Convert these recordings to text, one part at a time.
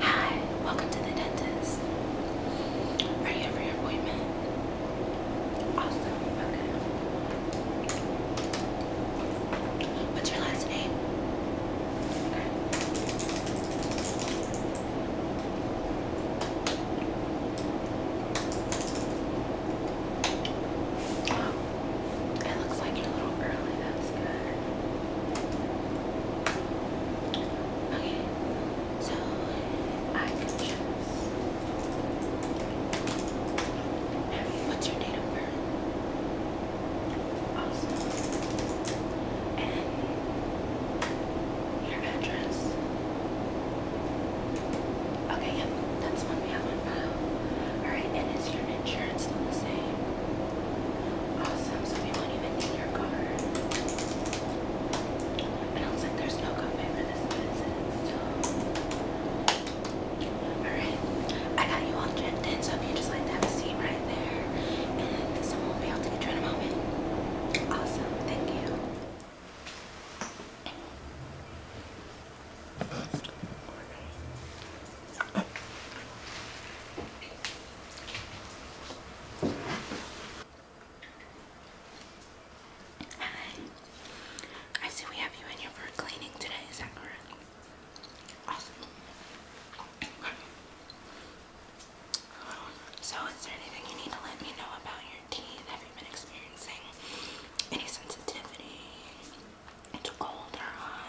Hi, welcome to the dentist. Are you for your appointment? Awesome, okay. What's your last name? it looks like you're a little early, that's good. Okay, so I can choose. what's your date of birth? Awesome. And your address? Okay, yep, that's one we have on file. Alright, and is your insurance still the same? Awesome, oh, so we won't even need your card. It looks like there's no copay for this, but Alright, I got you all checked in, so if you just like to have a seat right there, and someone be able to get you in a moment. Awesome, thank you. Alright. Hi. I see we have you in here for cleaning today, is that correct? So is there anything you need to let me know about your teeth? Have you been experiencing any sensitivity? It's cold or hot?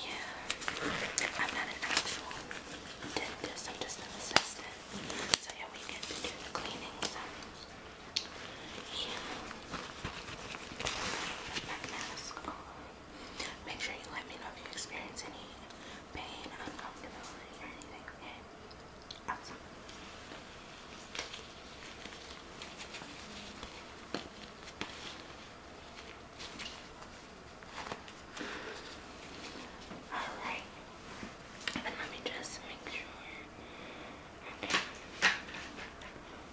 Yeah, I'm not an actual dentist, I'm just an assistant. So yeah, we get to do the cleaning, yeah. Put my mask on. Make sure you let me know if you experience any pain, uncomfortability, or anything, Alright. And let me just make sure. Okay.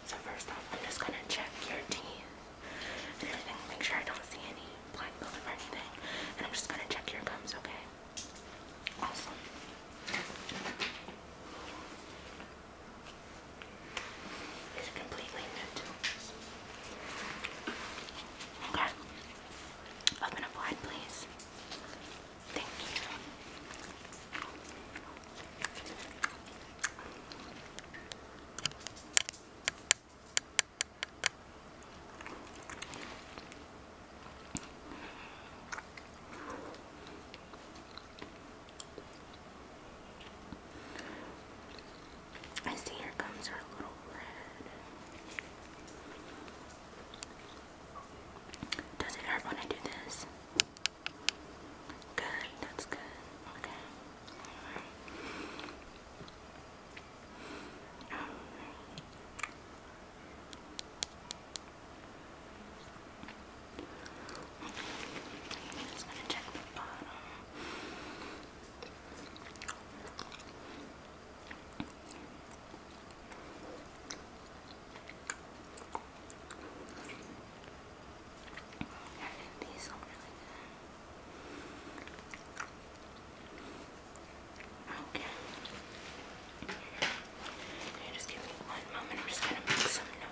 So first off, I'm just gonna check your teeth and everything. Make sure I don't see any black buildup or anything. And I'm just gonna check your gums, okay? Awesome. It's completely new to us. Okay. Open up wide, please. Thank you. I see here comes our little red. Does it hurt when I do this? Good, that's good. Okay. I'm just gonna check the bottom. these look really good. Okay. Okay, just give me one moment. I'm just gonna make some notes.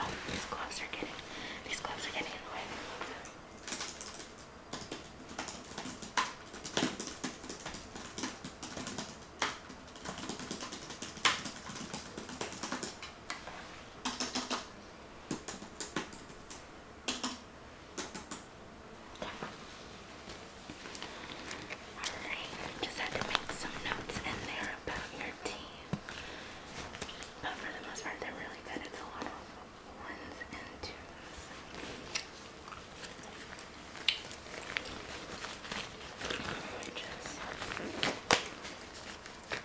Oh, these gloves are getting these gloves are getting in the way. Okay. Alright, you just had to make some notes in there about your tea. But for the most part, they're really good. It's a lot of ones and twos. Just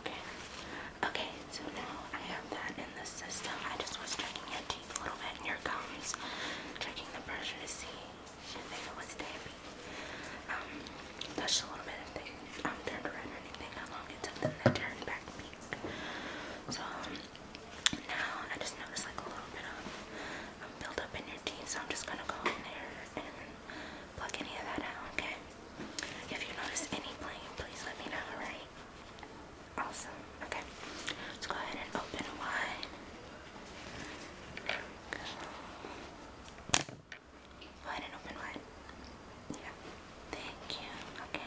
Okay. Okay, so now I have that in the system. I just was checking your teeth a little bit and your gums, checking the pressure to see if they was damping. Um, touched a little bit if they um, turned red or anything, how long it took them to turn back So um, now I just noticed like a little bit of um, in your teeth, so I'm just gonna go in there and pluck any of that out, okay? If you notice any playing, please let me know, alright? Awesome, okay. Let's go ahead and open wide. Go. Go ahead and open wide. Yeah. Thank you. Okay.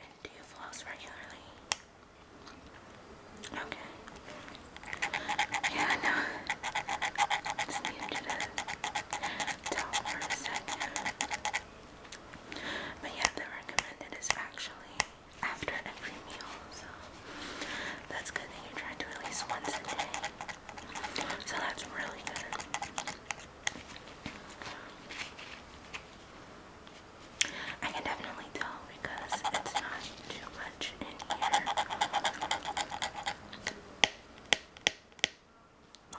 And do you floss regularly? Okay. Yeah, no. I just needed you to talk But yeah, the recommended is actually after every meal. So that's good that you're trying to release once a day. So that's really good. I can definitely tell because it's not too much in here. Oh.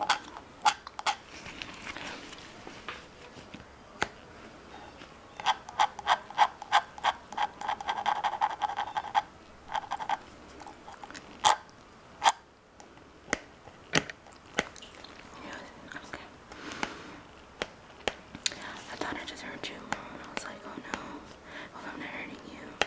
Okay. I thought I just hurt you. I was like, oh no, hope I'm not hurting you.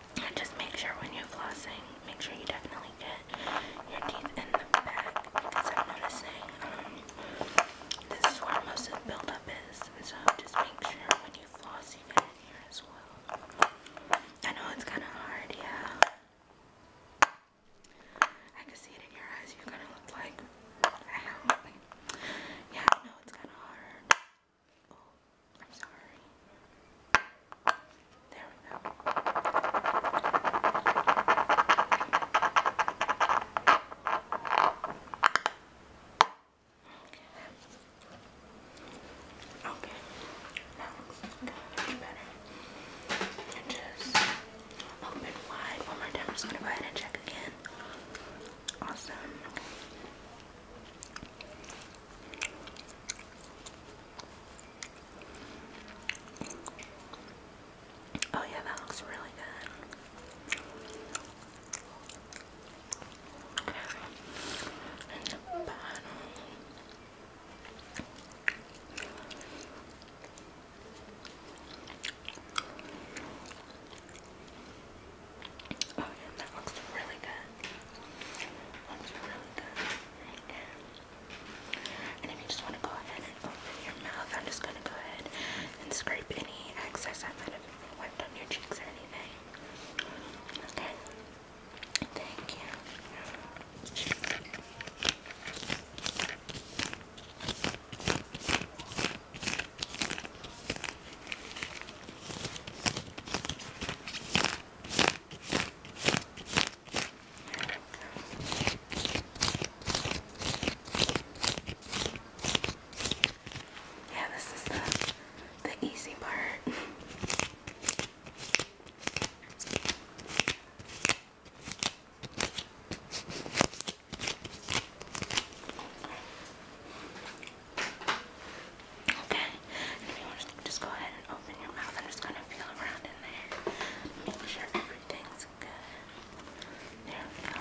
And just make sure when you're flossing, make sure you definitely get your teeth in the back because I'm noticing um, this is where most of the buildup is. And so just make sure when you floss, you get it here as well. I know it's kind of hard, yeah. I can see it in your eyes. You kind of look like, yeah, I know it's kind of hard. Oh. I'm sorry. There we go. Okay. Okay. Much better. And just open wide one more time. just gonna go ahead and check again. Awesome. Oh, yeah, that looks really good. And the bottom. Oh, yeah, that looks really good. And if you just want to go ahead and open your mouth, I'm just going to go ahead and scrape any excess I might have wiped on your cheeks or anything. Okay? Thank you. Yeah, this is the the easy part. Okay? you just go ahead and open your mouth, I'm just going to feel around in there. Make sure everything's good. There we go.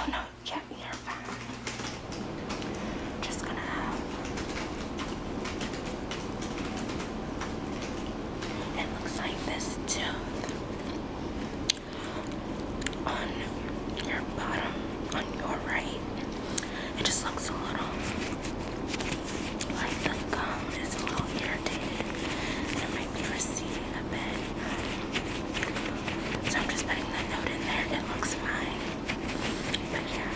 Oh no, yeah, you're fine. Just gonna have it looks like this too on your bottom, on your right. It just looks a little like the gum is a little irritated. And it might be receding a bit. So I'm just putting that note in there. It looks fine. But yeah.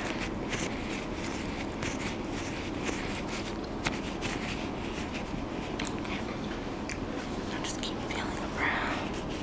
I'll just keep feeling around.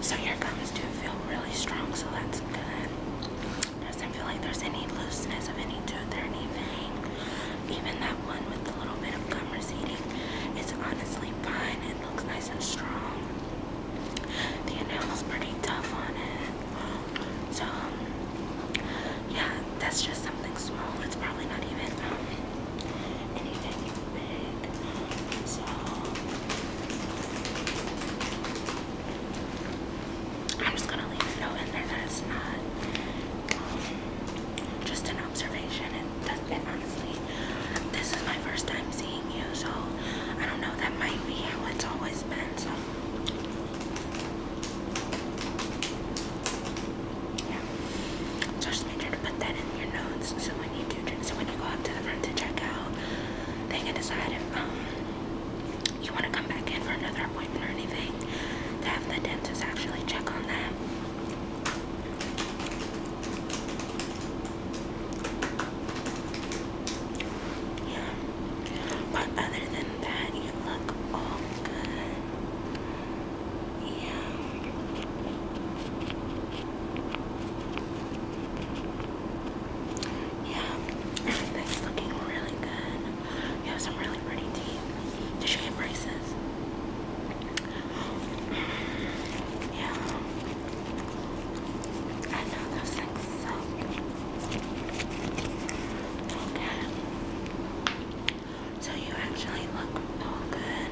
So your gums do feel really strong, so that's good. Doesn't feel like there's any looseness of any tooth or anything. Even that one with a little bit of gum receding it's honestly fine. It looks nice and strong. The enamel's pretty tough on it. So yeah, that's just something small. It's probably not even um, anything so I'm just gonna leave it out in there that's not um, just an observation. And that's it. honestly, this is my first time seeing you, so I don't know. That might be how it's always been. So just make sure to put that in your notes so when you do, so when you go up to the front to check out, they can decide if um, you want to come back in for another appointment or anything. To have the dentist actually check on that. Yeah, but other than that, you look all good. Yeah. Yeah. Everything's looking really good. You have some really pretty teeth. Did you get braces? Yeah. I know those things suck. Okay. So you actually look all good.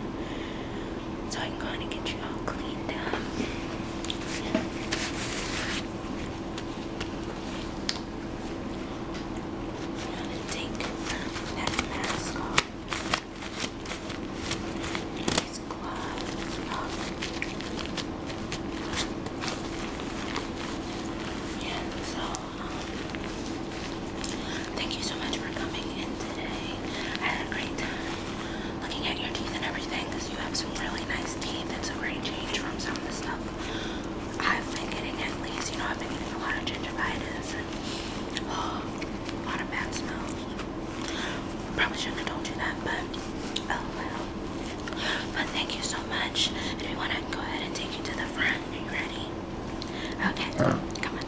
So I'm going to get you all cleaned up. I'm going to take that mask off. These gloves Yeah, so um, Thank you so much for coming in today. I had a great time looking at your teeth and everything because you have some really nice teeth. It's a great change from some of the stuff I've been getting at least. You know, I've been getting a lot of gingivitis and oh, a lot of bad smells. Probably shouldn't have told you that, but oh well. But thank you so much. If you want to go ahead and take you to the front, are you ready? Okay, come on.